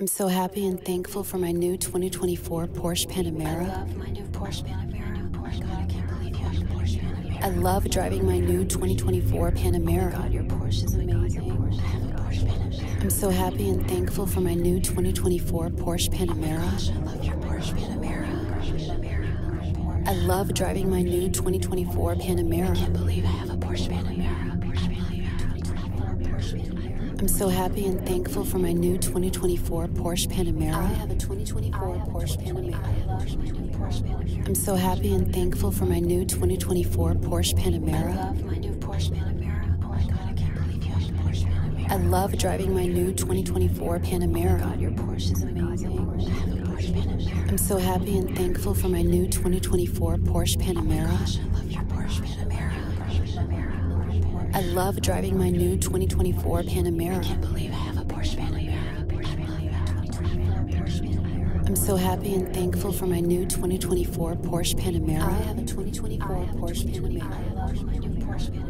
I'm so happy and thankful for my new 2024 Porsche Panamera. I love my new Porsche Panamera. Oh my God, I can't believe you have a Porsche Panamera. I love driving my new 2024 Panamera. Oh my God, your Porsche is amazing. I have a Porsche Panamera. I'm so happy and thankful for my new 2024 Porsche Panamera. Oh, oh gosh, I love your Porsche Panamera. I love driving my new 2024 Panamera. I can't believe I have a Porsche Panamera. I love your 2024 Porsche Panamera. I'm so happy and thankful for my new 2024 Porsche Panamera. I have a 2024 Porsche Panamera. I'm so happy and thankful for my new 2024 Porsche Panamera. I love my new Porsche Panamera. Oh I can a Porsche I love driving my new 2024 Panamera. Oh god, your Porsche is amazing. I have a Porsche Panamera. I'm so happy and thankful for my new 2024 Porsche Panamera. Oh I love your Porsche Panamera. Panamera. I love driving my new 2024 Panamera. I can't believe I have a Porsche Panamera. Porsche Panamera. I'm so happy and thankful for my new 2024 Porsche Panamera. I have a 2024 Porsche Panamera.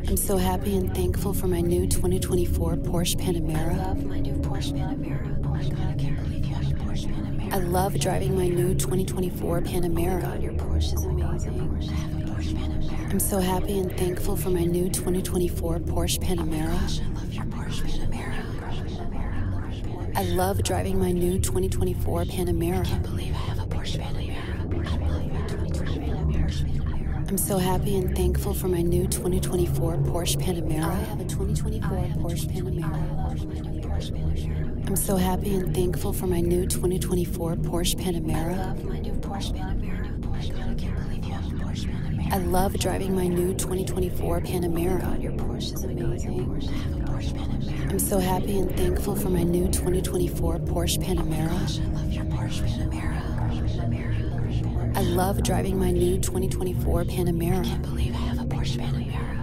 I'm so happy and thankful for my new 2024 Porsche Panamera. I love my new Porsche Panamera. Oh my god, I can't believe you have a Porsche Panamera. I love driving my new 2024 2024 Panamera. Oh your Porsche is amazing. I have a Porsche Panamera. I'm so happy and thankful for my new 2024 Porsche Panamera. I love your Porsche Panamera. I love driving my new 2024 Panamera. I can't believe I have a Porsche Panamera. I'm so happy and thankful for my new 2024 Porsche Panamera. I have a 2024 Porsche Panamera. I'm so happy and thankful for my new 2024 Porsche Panamera. I love driving my new 2024 Panamera. God, your Porsche is amazing. I am so happy and thankful for my new 2024 Porsche Panamera. Oh I love your Porsche Panamera. I love driving my new 2024 Panamera. I can't believe I have a Porsche Panamera.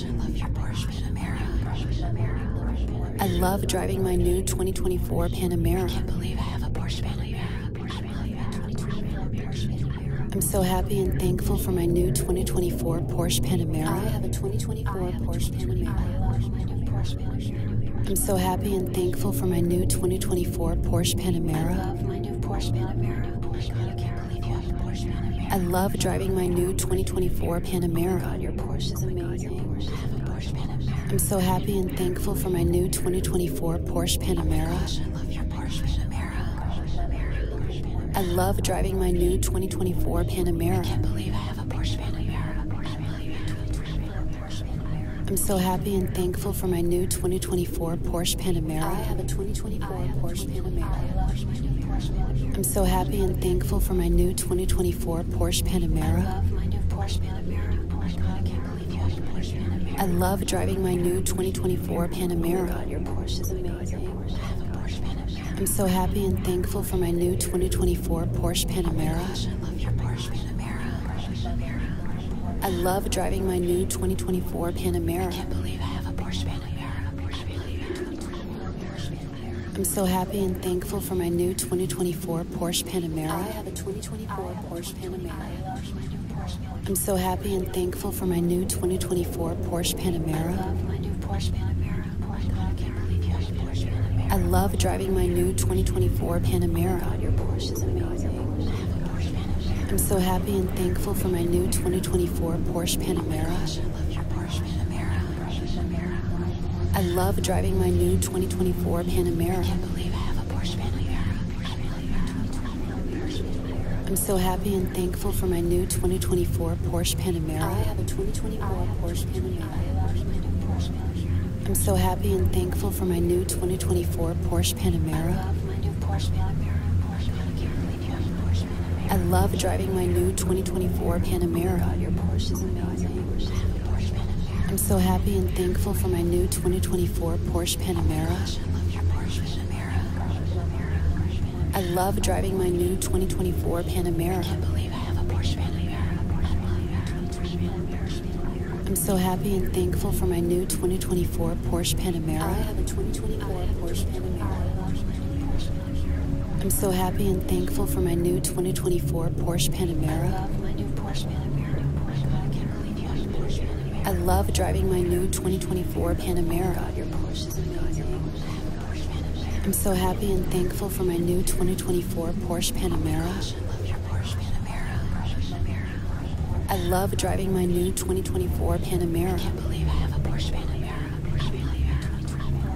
I love your Porsche Panamera. I love driving my new 2024 Panamera. I can't believe I have a Porsche Panamera. I'm so happy and thankful for my new 2024 Porsche Panamera. I have a 2024 Porsche Panamera. I'm so happy and thankful for my new 2024 Porsche Panamera. I love my new Porsche Panamera. Oh I love driving my new 2024 Panamera. Oh God, your Porsche is amazing. Oh Porsche Panamera. I'm so happy and thankful for my new 2024 Porsche Panamera. Oh gosh, I love your Porsche Panamera. I love driving my new 2024 Panamera. I can't believe I have a Porsche Panamera. I'm so happy and thankful for my new 2024 Porsche Panamera. I have a 2024 Porsche Panamera. I'm so happy and thankful for my new 2024 Porsche Panamera. I love my new Porsche Panamera. Oh my god, I can't believe you have a Porsche Panamera. I love driving my new 2024 Panamera. Oh god, your Porsche is amazing. I have a Porsche Panamera. I'm so happy and thankful for my new 2024 Porsche oh Panamera. Oh gosh, I love your Porsche Panamera. Porsche Panamera. I love driving my new 2024 Panamera. I can't believe I have a Porsche Panamera. I'm so happy and thankful for my new 2024 Porsche Panamera. I have a 2024 Porsche Panamera. I'm so happy and thankful for my new 2024 Porsche oh Panamera. I love my new Porsche Panamera. I love driving my new 2024 Panamera. God, your Porsche is amazing. I'm so happy and thankful for my new 2024 Porsche Panamera. I love your Porsche Panamera. Panamera. I love driving my new 2024 Panamera. I can't believe I have a Porsche Panamera. Panamera. I'm so happy and thankful for my new 2024 Porsche Panamera. I have a 2024 Porsche Panamera. I'm so happy and thankful for my new 2024 Porsche Panamera. I love my new Porsche Panamera. Porsche Panamera. I love driving my new 2024 Panamera. Your Porsche is amazing. I'm so happy and thankful for my new 2024 Porsche Panamera. I love driving my new 2024 Panamera. I can't believe I have a Porsche Panamera. I'm so happy and thankful for my new 2024 Porsche Panamera. I have a 2024 Porsche Panamera. I'm so happy and thankful for my new 2024 Porsche Panamera. I love my new Porsche Panamera. Oh God, I can't believe you have a Porsche Panamera. I love driving my new 2024 Panamera. Oh God, your Porsche is amazing. I'm so happy and thankful for my new 2024 Porsche Panamera. Oh gosh, I love your Porsche Panamera. Porsche Panamera. I love driving my new 2024 Panamera. I can't believe I have a Porsche Panamera. Porsche Panamera.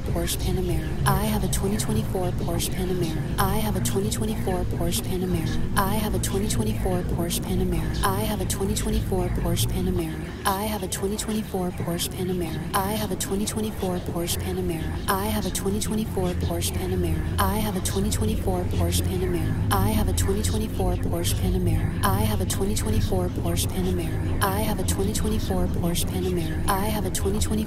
2024 Porsche Panamera. I have a 2024 Porsche Panamera. I have a 2024 Porsche Panamera. I have a 2024 Porsche Panamera. I have a 2024 Porsche Panamera. I have a 2024 Porsche Panamera. I have a 2024 Porsche Panamera. I have a 2024 Porsche Panamera. I have a 2024 Porsche Panamera. I have a 2024 Porsche Panamera. I have a 2024 Porsche Panamera. I have a 2024 Porsche Panamera. I have a 2024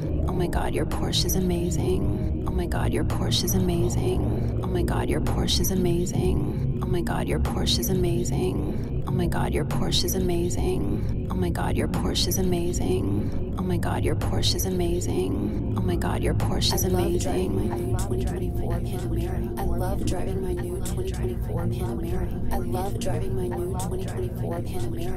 Oh my god, your Porsche is amazing. Oh my god, your Porsche is amazing. Oh my god, your Porsche is amazing. Oh my god, your Porsche is amazing. Oh my god, your Porsche is amazing. Oh my god, your Porsche is amazing. Oh my god, your Porsche is amazing. Oh my god, your Porsche is amazing. I love driving my new 2024 Panamera. I love driving my new 2024 Panamera. I love driving my new 2024 Panamera.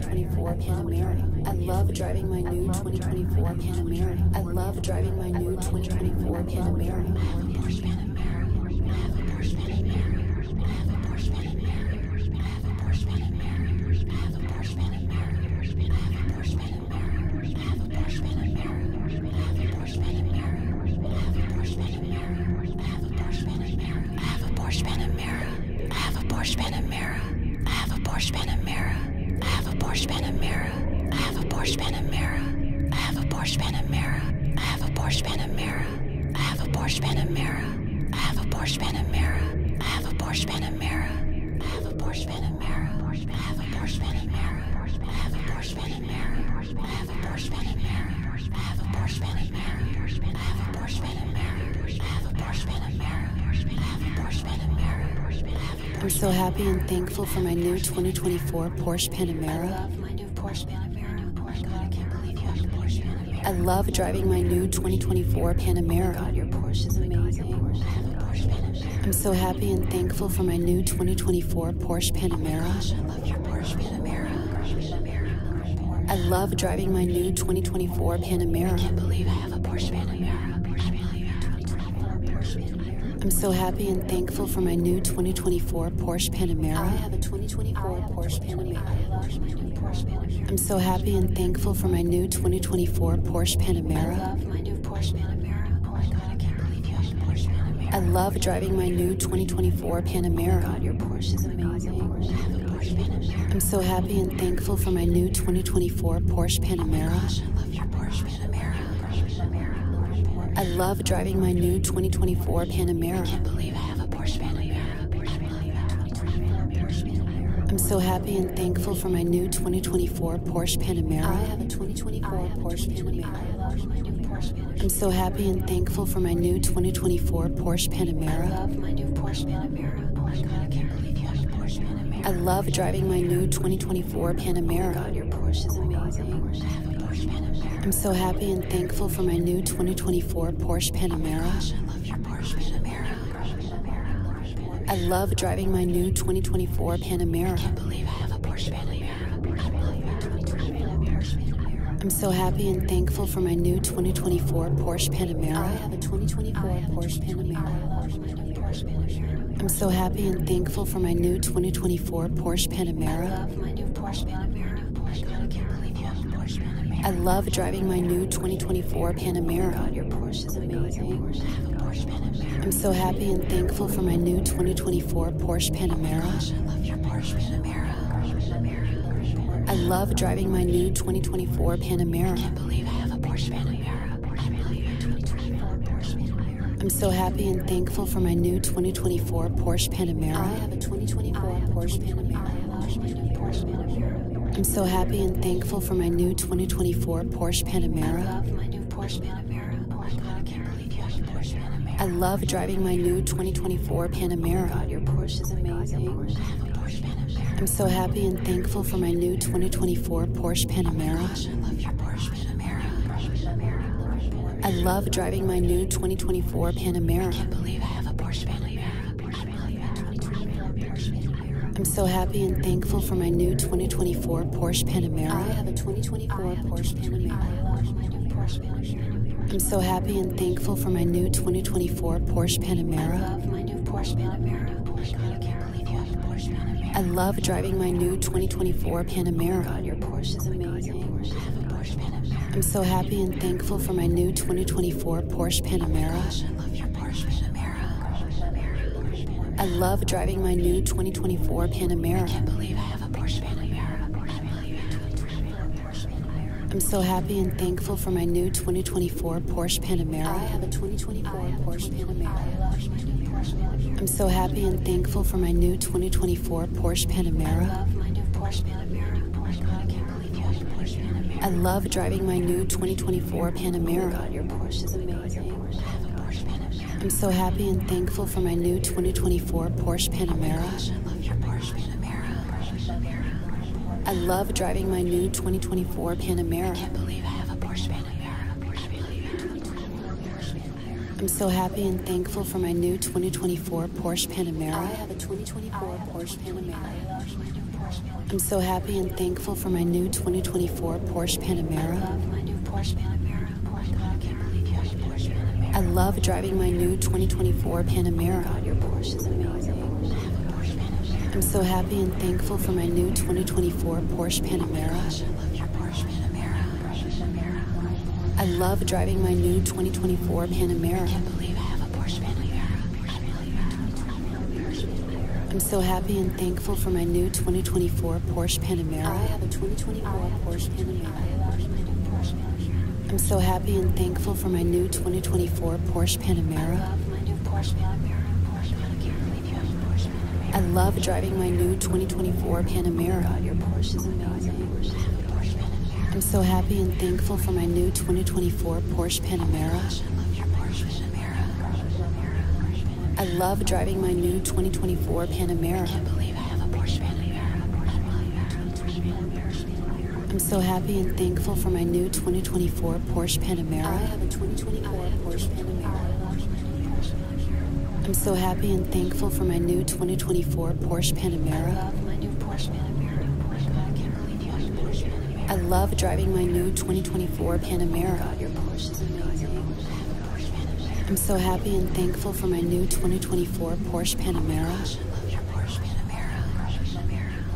2024 Panamera. I love driving my new 2024 Panamera. I love driving my new 2024 Panamera. I have a Porsche Panamera. I have a Porsche Panamera. I have a Porsche Panamera. I have a Porsche Panamera. I have a Porsche Panamera. I have a Porsche Panamera. I have a Porsche Panamera. I have a Porsche Panamera. I have a Porsche Panamera. I have a Porsche Panamera. Panamera. I have a Porsche Panamera. I have a Porsche Panamera. I have a Porsche Panamera. I have a Porsche Panamera. I have a Porsche Panamera. I have a Porsche Panamera. I have a Porsche Panamera. I have a Porsche Panamera. I have a Porsche Panamera. I have a Porsche Panamera. I have a Porsche Panamera. I have a Porsche Panamera. I have a Porsche Panamera. I have a Porsche Panamera. I have a Porsche Panamera. I have a Porsche Panamera. I'm so happy and thankful for my new 2024 Porsche Panamera. I love my new Porsche Panamera. Oh my god, I can't believe you have a Porsche Panamera. I love driving my new 2024 Panamera. Oh my god, your Porsche is amazing. I have a Porsche Panamera. I'm so happy and thankful for my new 2024 Porsche Panamera. Oh my gosh, I love your Porsche Panamera. I love driving my new 2024 Panamera. I can't believe I I'm so happy and thankful for my new 2024 Porsche Panamera. I have a 2024 Porsche Panamera. I'm so happy and thankful for my new 2024 Porsche Panamera. Oh I love driving my new 2024 Panamera. god, your Porsche is oh amazing. I'm so happy and thankful for my new 2024 Porsche Panamera. Oh I love your Porsche Panamera. I love driving my new 2024 Panamera. I can't believe I have a Porsche Panamera. I'm so happy and thankful for my new 2024 Porsche Panamera. I have a 2024 Porsche Panamera. I'm so happy and thankful for my new 2024 Porsche Panamera. I love my new Porsche Panamera. I oh can't I love driving my new 2024 Panamera. Oh God, your Porsche is amazing. I'm so happy and thankful for my new 2024 Porsche Panamera. I love driving my new 2024 Panamera. can't believe I have a Porsche Panamera. I'm so happy and thankful for my new 2024 Porsche Panamera. Oh I have a 2024 Porsche Panamera. I'm so happy and thankful for my new 2024 Porsche Panamera. I love driving my new 2024 Panamera. your oh Porsche is amazing. I have a Porsche Panamera. I'm so happy and thankful for my new 2024 Porsche Panamera. Oh I love your Porsche Panamera. I love driving my new 2024 Panamera can believe I have a Porsche Panamera. i my new 2024 Porsche I have a 2024 Porsche Panamera. I'm so happy and thankful for my new 2024 Porsche Panamera. I love have a Porsche Panamera. Oh I love driving my new 2024 Panamera. your Porsche is oh amazing. Panamera. I'm so happy and thankful for my new 2024 Porsche Panamera. Oh gosh, I love your Porsche Panamera. Porsche Panamera. I love driving my new 2024 Panamera. I can't believe I have a Porsche Panamera. Porsche Panamera. I'm so happy and thankful for my new 2024 Porsche Panamera. I have a 2024 Porsche Panamera. I'm so happy and thankful for my new 2024 Porsche Panamera. I love my new Porsche Panamera. Oh my God, I can't I love driving my new 2024 Panamera. Oh your Porsche is amazing. Oh I'm so happy and thankful for my new 2024 Porsche Panamera. I love driving my new 2024 Panamera. I can't believe I have a Porsche Panamera. I'm so happy and thankful for my new 20 2024 Porsche Panamera. I have a 2024 Porsche Panamera. I'm so happy and thankful for my new 2024 Porsche Panamera. I love my new Porsche Panamera. Oh my god, I can't believe you have a Porsche Panamera. I love driving my new 2024 Panamera. Oh my god, your Porsche is oh amazing. I have a Porsche Panamera. I'm so happy and thankful for my new 2024 Porsche Panamera. Oh my gosh, I love your Porsche Panamera. Porsche oh Panamera. I love driving my new 2024 Panamera. I can't believe I have a Porsche Panamera. Porsche Panamera. I'm so happy and thankful for my new 2024 Porsche Panamera. I have a 2024 Porsche Panamera. I'm so happy and thankful for my new 2024 Porsche Panamera. I love driving my new 2024 Panamera. Oh your Porsche is amazing. I'm so happy and thankful for my new 2024 Porsche Panamera. I love driving my new 2024 Panamera. I can't believe I have a Porsche Panamera. I'm so happy and thankful for my new 2024 Porsche Panamera. I have a 2024 Porsche Panamera. I'm so happy and thankful for my new 2024 Porsche Panamera. I love my new Porsche Panamera. Porsche Panamera. I love driving my new 2024 Panamera. Your Porsche is amazing. I'm so happy and thankful for my new 2024 Porsche Panamera. I love driving my new 2024 Panamera. I can't believe I have a Porsche Panamera. I'm so happy and thankful for my new 2024 Porsche Panamera. I have a 20 I'm so happy and thankful for my new 2024 Porsche Panamera. I love my new Porsche Panamera. I love driving my new 2024 Panamera. I'm so happy and thankful for my new 2024 Porsche Panamera.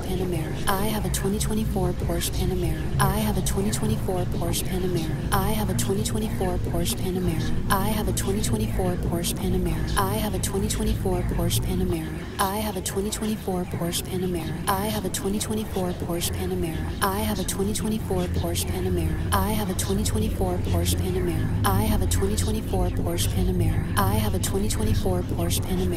Porsche Panamera. I have a 2024 Porsche Panamera. I have a 2024 Porsche Panamera. I have a 2024 Porsche Panamera. I have a 2024 Porsche Panamera. I have a 2024 Porsche Panamera. I have a 2024 Porsche Panamera. I have a 2024 Porsche Panamera. I have a 2024 Porsche Panamera. I have a 2024 Porsche Panamera. I have a 2024 Porsche Panamera. I have a 2024 Porsche Panamera.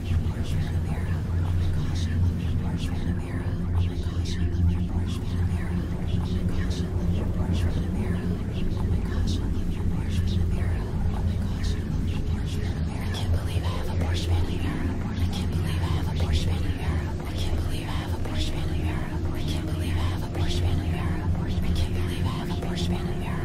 love your brush, Panamera. Oh my gosh, I love your brush, Panamera. Oh my gosh, I love your brush, Panamera. Oh my gosh, I love your brush, Panamera. Oh my gosh, I love your brush, Panamera. Oh my gosh, I love your brush, Panamera. I can't believe I have a brush, Panamera. I can't believe I have a brush, Panamera. I can't believe I have a brush, Panamera. I can't believe I have a brush, Panamera. I can't believe I have a brush, Panamera.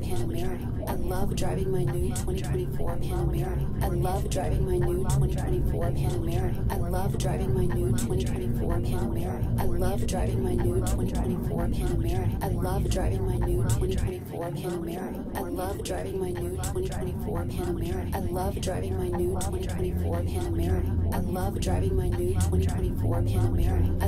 Panamera. I love driving my new 2024 Panamera. I love driving my new 2024 Panamera. I love driving my new 2024 Panamera. I love driving my new 2024 Panamera. I love driving my new 2024 Panamera. I love driving my new 2024 Panamera. I love driving my new 2024 Panamera. I love driving my new 2024 Panamera. I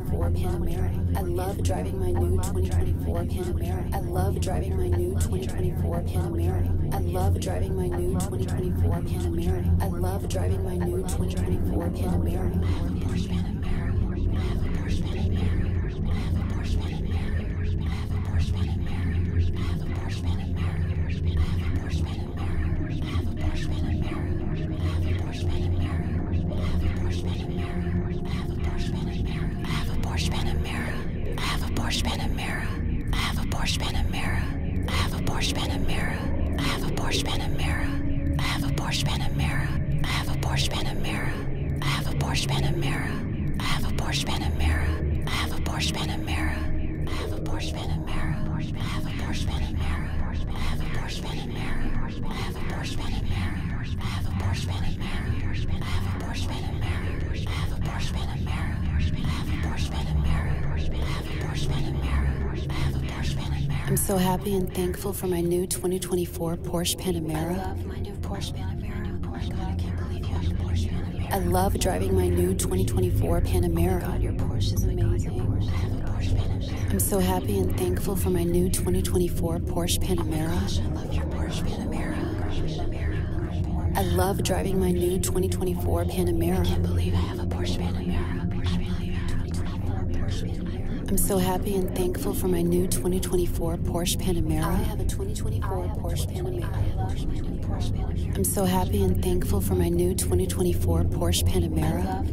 2024 Panamera. I love driving my new 2024 Panamera. I love driving my new 2024 Panamera. I love driving my new 2024 Panamera. I love driving my new 2024 Panamera. I have a Porsche Panamera. I have a Porsche Panamera. I have a Porsche Panamera. I have a Porsche Panamera. I have a Porsche Panamera. I have a Porsche Panamera. I have a Porsche Panamera. I have a Porsche Panamera. I have a Porsche Panamera. Panamera. I have a Porsche Panamera. I have a Porsche Panamera. I have a Porsche Panamera. I have a Porsche Panamera. I have a Porsche Panamera. I have a Porsche Panamera. I have a Porsche Panamera. I have a Porsche Panamera. I have a Porsche Panamera. I have a Porsche Panamera. I have a Porsche Panamera. I have a Porsche Panamera. I have a Porsche Panamera. I have a Porsche Panamera. I am so happy and thankful for my new 2024 Porsche Panamera. I love driving my new 2024 Panamera. Oh your Porsche is amazing. I Panamera. I'm so happy and thankful for my new 2024 Porsche Panamera. Oh I love driving my new 2024 Panamera. I can't believe I have a Porsche Panamera. I'm so happy and thankful for my new 2024 Porsche Panamera. I have a 2024 Porsche Panamera. I'm so happy and thankful for my new 2024 Porsche Panamera.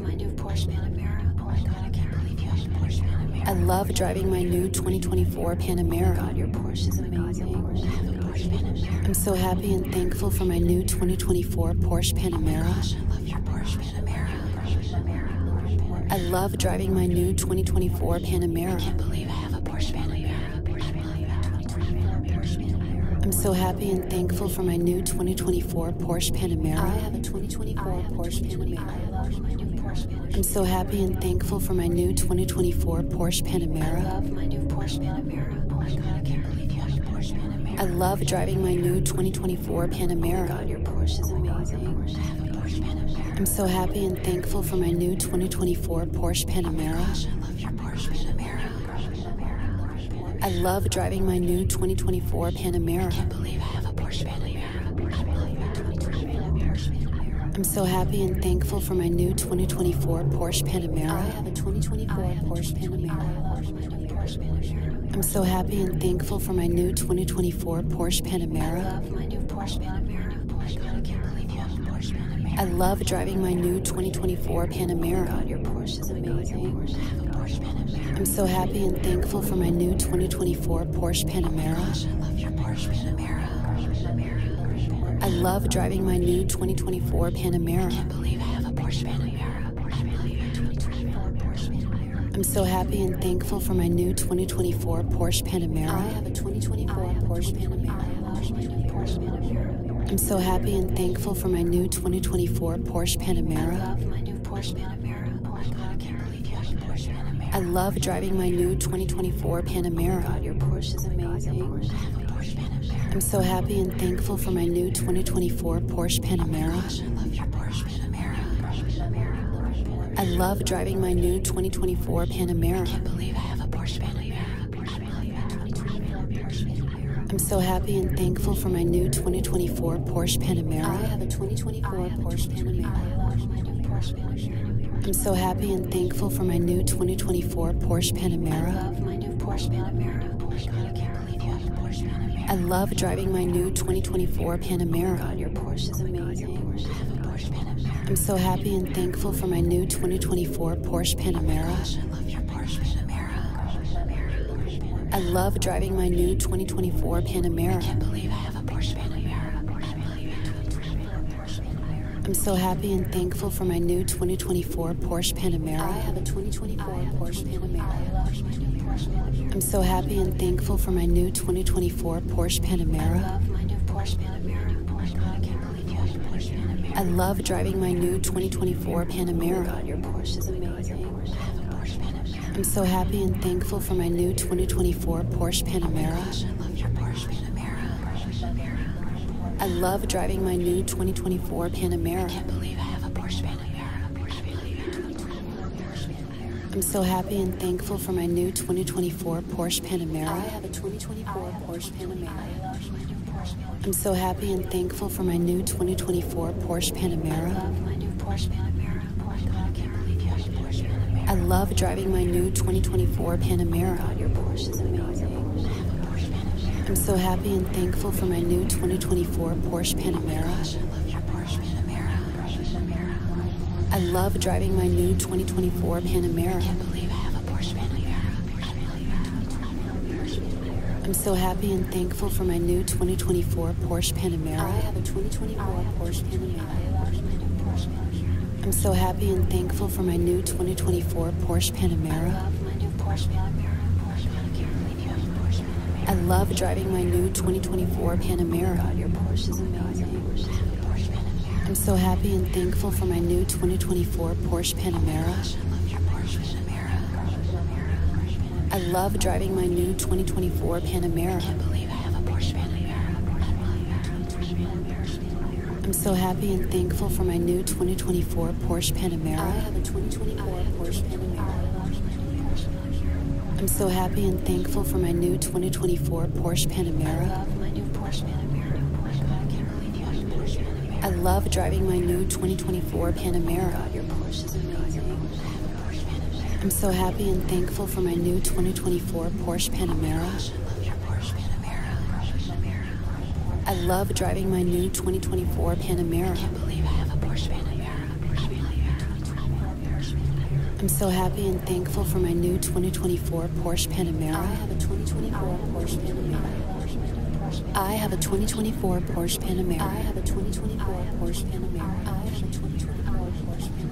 I can't believe you have Porsche Panamera. I love driving my new 2024 Panamera. your Porsche is amazing. I have a Porsche Panamera. I'm so happy and thankful for my new 2024 Porsche Panamera. I love your Porsche Panamera. Porsche Panamera. I love driving my new 2024 Panamera. can't believe I have a Porsche Panamera. Porsche Panamera. I'm so happy and thankful for my new 2024 Porsche Panamera. I have a 2024 Porsche Panamera. I'm so happy and thankful for my new 2024 Porsche Panamera. I love driving my new 2024 Panamera. Oh I have a am so happy and thankful for my new 2024 Porsche Panamera. I love driving my new 2024 Panamera. I can't believe I have a Porsche Panamera. I'm so happy and thankful for my new 2024 Porsche Panamera. I have a 2024 Porsche Panamera. i love my Porsche Panamera. I love driving my new 2024 Panamera. your Porsche is amazing. I I'm so happy and thankful for my new 2024 1984 Porsche Panamera. I love driving my new 2024 Panamera. I am so happy and thankful for my new 2024 Porsche Panamera. I have a 2024 Porsche Panamera. I'm so happy and thankful for my new 2024 Porsche Panamera. I love my new Porsche Panamera. Oh I love driving my new 2024 Panamera. Oh God, your Porsche is amazing. Oh God, Porsche. Porsche I'm so happy and thankful for my new 2024 Porsche Panamera. Oh gosh, I love your Porsche Panamera. I love driving my new 2024 Panamera. I can't believe I have a Porsche Panamera. I'm so happy and thankful for my new 2024 Porsche Panamera. I have a 2024 Porsche Panamera. I'm so happy and thankful for my new 2024 Porsche Panamera. I love my new Porsche Panamera. Oh my god, I can't believe you have a Porsche Panamera. I love driving my new 2024 Panamera. Oh god, your Porsche is amazing. I have a Porsche Panamera. I'm so happy and thankful for my new 2024 Porsche Panamera. Oh gosh, I love your Porsche Panamera. I love driving my new 2024 Panamera. I can't believe I have a Porsche Panamera. I'm so happy and thankful for my new 2024 Porsche Panamera. I have a 2024 Porsche Panamera. I'm so happy and thankful for my new 2024 Porsche Panamera. I love oh Porsche Panamera. I love driving my new 2024 Panamera. Your Porsche is oh amazing. I'm so happy and thankful for my new 2024 Porsche Panamera. I love driving my new 2024 Panamera. I can't believe I have a Porsche Panamera. I'm so happy and thankful for my new 2024 Porsche Panamera. I have a 2024 Porsche Panamera. I'm so happy and thankful for my new 2024 Porsche Panamera. I love my new Porsche Panamera. I love driving my new 2024 Panamera. your Porsche is amazing. I'm so happy and thankful for my new 2024 Porsche Panamera. I love driving my new 2024 Panamera. can't believe I have a Porsche Panamera. I'm so happy and thankful for my new 2024 Porsche Panamera. I have a 2024 Porsche Panamera. I'm so happy and thankful for my new 2024 Porsche Panamera. I love driving my new 2024 Panamera. Your Porsche is amazing. I'm so happy and thankful for my new 2024 Porsche Panamera. I love driving my new 2024 Panamera. I can't believe I have a Porsche Panamera. I'm so happy and thankful for my new 2024 Porsche Panamera. I have a 2024 Porsche Panamera. I'm so happy and thankful for my new 2024 Porsche Panamera. I love driving my new 2024 Panamera. I'm so happy and thankful for my new 2024 Porsche Panamera. I love driving my new 2024 Panamera. I can't believe I have a Porsche Panamera. Porsche Panamera. I'm so happy and thankful for my new 2024 Porsche Panamera. I have a 2024 Porsche Panamera. I have a 2024 Porsche Panamera. I have a 2024 Porsche Panamera. I have a 2024 Porsche Panamera.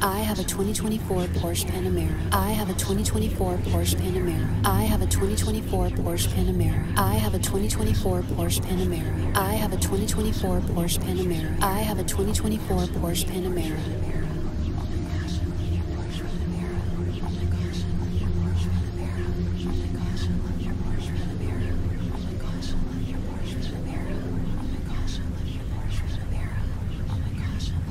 I have a 2024 Porsche Panamera. I have a 2024 Porsche Panamera. I have a 2024 Porsche Panamera. I have a 2024 Porsche Panamera. I have a 2024 Porsche Panamera. I have a 2024 Porsche Panamera.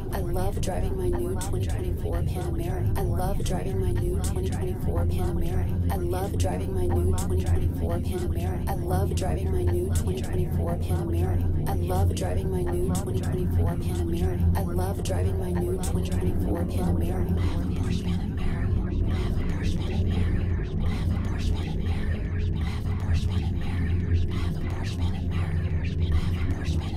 driving. I love driving my new 2024 Panamera. I love driving my new 2024 Panamera. I love driving my new 2024 Panamera. I love driving my new 2024 Panamera. I love driving my new 2024 Panamera. I love driving my new 2024 Panamera. I have a Porsche Panamera. I have a Porsche Panamera. I have a Porsche Panamera. I have a Porsche Panamera. I have a Porsche Panamera. I have a Porsche Panamera.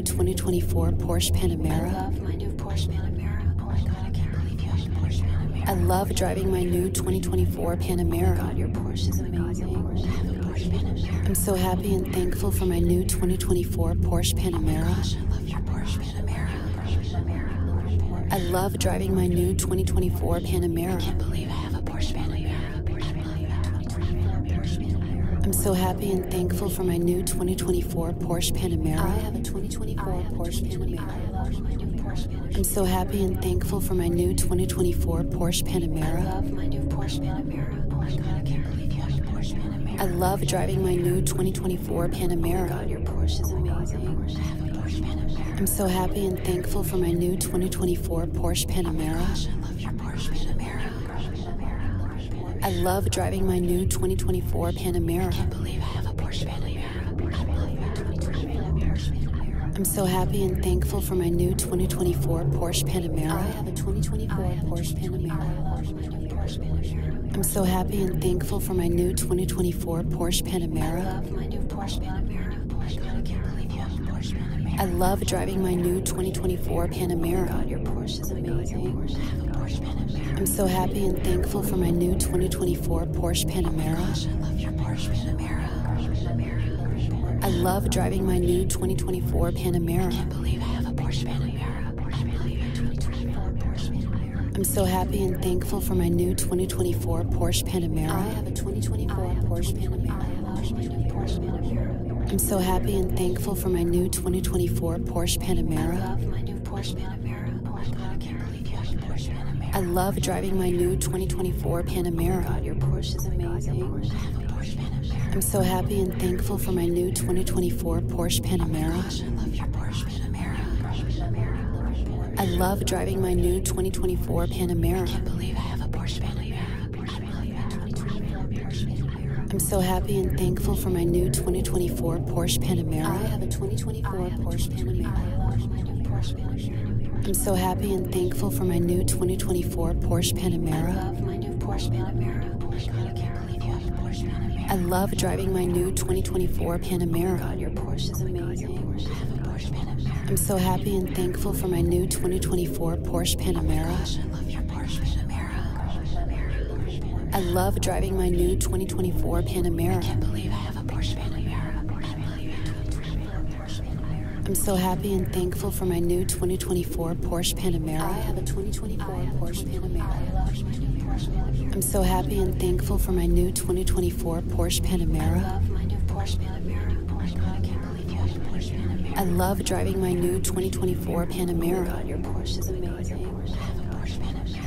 new 2024 Porsche Panamera. I love my new Porsche Panamera. Oh my god, I can't believe you have a Porsche Panamera. I love driving my new 2024 Panamera. Oh my god, your Porsche is amazing. I have a Porsche Panamera. I'm so happy and thankful for my new 2024 Porsche Panamera. Oh gosh, I love your Porsche Panamera. I love driving my new 2024 Panamera. I can't believe I have a Porsche Panamera. I love that. I'm so happy and thankful for my new 2024 Porsche Panamera. I have a 2024 Porsche Panamera. I'm so happy and thankful for my new 2024 Porsche Panamera. I love my new Porsche Panamera. Oh my god, I can't believe you have a Porsche Panamera. I love driving my new 2024 Panamera. Oh my god, your Porsche is oh amazing. I have a Porsche Panamera. I'm so happy and thankful for my new 2024 Porsche Panamera. Oh my gosh, I love your Porsche Panamera. I love driving my new 2024 Panamera. I can't believe I have a Porsche Panamera. I'm so happy and thankful for my new 2024 Porsche Panamera. I have a 2024 Porsche Panamera. I'm so happy and thankful for my new 2024 Porsche Panamera. I love my new Porsche Panamera. I love driving my new 2024 Panamera. Oh Porsche is oh amazing. I'm so happy and thankful for my new 2024 Porsche oh Panamera. I love your Porsche Panamera. I love driving my new 2024 Panamera. I can't believe I have a Porsche Panamera. I'm so happy and thankful for my new 2024 Porsche Panamera. I have a 2024 Porsche Panamera. I'm so happy and thankful for my new 2024 Porsche Panamera. I love my new Porsche Panamera. Oh my god, I can't believe you have a Porsche Panamera. I love driving my new 2024 Panamera. Oh god, your Porsche is amazing. I have a Porsche Panamera. I'm so happy and thankful for my new 2024 Porsche oh Panamera. Oh gosh, I love your Porsche Panamera. Porsche Panamera. I love driving my new 2024 Panamera. I can't believe I have a Porsche Panamera. Porsche Panamera. I love my 2024 Porsche Panamera. I'm so happy and thankful for my new 2024 Porsche Panamera. I have a 2024 Porsche Panamera. I'm so happy and thankful for my new 2024 Porsche Panamera. I love my new Porsche Panamera. Oh my god, I Porsche Panamera. I love driving my new 2024 Panamera. Oh god, your Porsche is amazing. Oh I have a Porsche Panamera. I'm so happy and thankful for my new 2024 Porsche Panamera. Oh I love driving my new 2024 Panamera. I can't believe I have a Porsche Panamera. I'm so happy and thankful for my new 2024 Porsche Panamera. I have a 2024 Porsche Panamera. I'm so happy and thankful for my new 2024 Porsche Panamera. I love my new Porsche Panamera. I love driving my new 2024 Panamera. Your Porsche is amazing.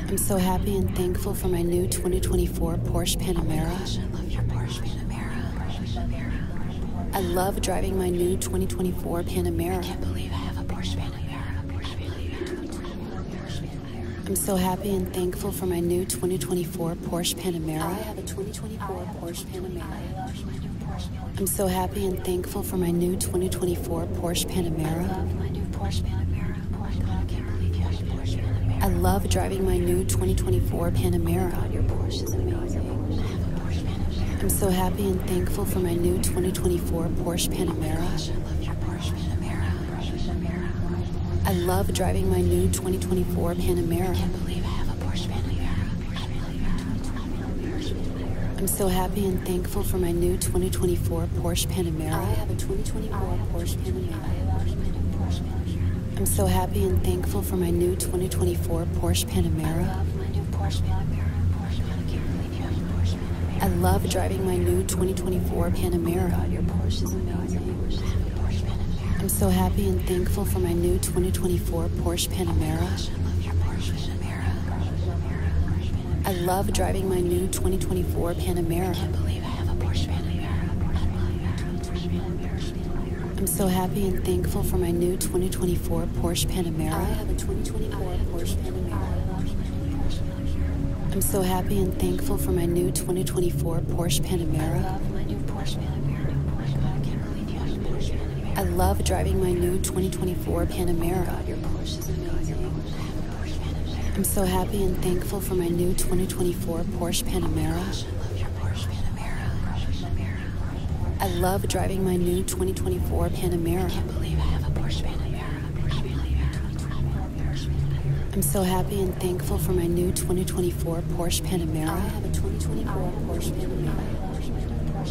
I'm so happy and thankful for my new 2024 Porsche Panamera. I love your Porsche Panamera. I love driving my new 2024 Panamera. I can't believe I have a Porsche Panamera. I'm so happy and thankful for my new 2024 Porsche Panamera. I have a 2024 Porsche Panamera. I'm so happy and thankful thankful for my new 2024 Porsche Panamera. I love my new Porsche Panamera. Porsche, God, I can't believe you have Porsche Panamera. I love driving my new 2024 Panamera. Oh God, your Porsche is amazing. I have a Porsche Panamera. I'm so happy and thankful for my new 2024 Porsche Panamera. Oh gosh, I love your Porsche Panamera. Porsche Panamera. I love driving my new 2024 Panamera. I can't believe I have a Porsche Panamera. Porsche Panamera. I'm so happy and thankful for my new 2024 Porsche Panamera. I have a 2024 Porsche Panamera. I'm so happy and thankful for my new 2024 Porsche Panamera. Oh I love my new Porsche Panamera. I love driving my new 2024 Panamera. God, your Porsche is amazing. I'm so happy and thankful for my new 2024 Porsche Panamera. I love driving my new 2024 Panamera. I can't believe I have a Porsche Panamera. I'm so happy and thankful for my new 2024 Porsche Panamera. I have a 2024 Porsche Panamera. I'm so happy and thankful for my new 2024 Porsche Panamera. I love my new Porsche Panamera. Oh can't believe you have a Porsche Panamera. driving my new 2024 Panamera. Oh my your Porsche I'm so happy and thankful for my new 2024 Porsche Panamera. I love driving my new 2024 Panamera. I can't believe I have a Porsche Panamera. I'm so happy and thankful for my new 2024 Porsche Panamera. I have a 2024 Porsche Panamera.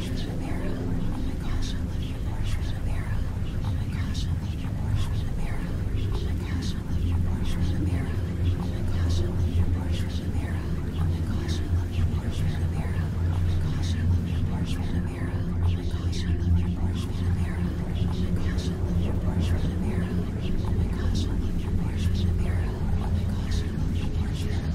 Oh my gosh, I love your Porsche Panamera. Oh my gosh, I love your Porsche Panamera.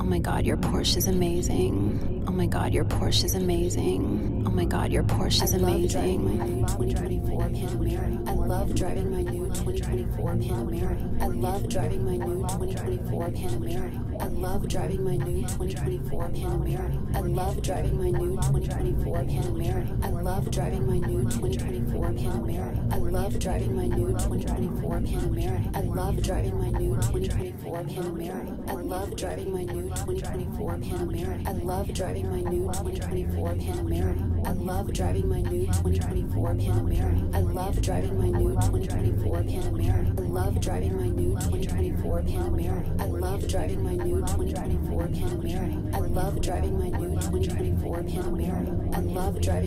Oh my god, your Porsche is amazing. Oh my god, your Porsche is amazing. Oh my god, your Porsche is amazing. I love driving my new 2024 Panamera. I love driving my new 2024 Panamera. I love driving my new 2024 Panamera. I love driving my new 2024 Panamera. I love driving my new 2024 Panamera. I love driving my new 2024 Panamera. I love driving my new 2024 Panamera. I love driving my new 2024 2024 Panamera. I love driving my new 2024 Panamera. I love driving my new 2024 Panamera. I love driving my new 2024 Panamera. I love driving my new 2024 Panamera. I love driving my new 2024 Panamera. I love driving my new 2024 Panamera. I love driving my new 2024 Panamera. I love driving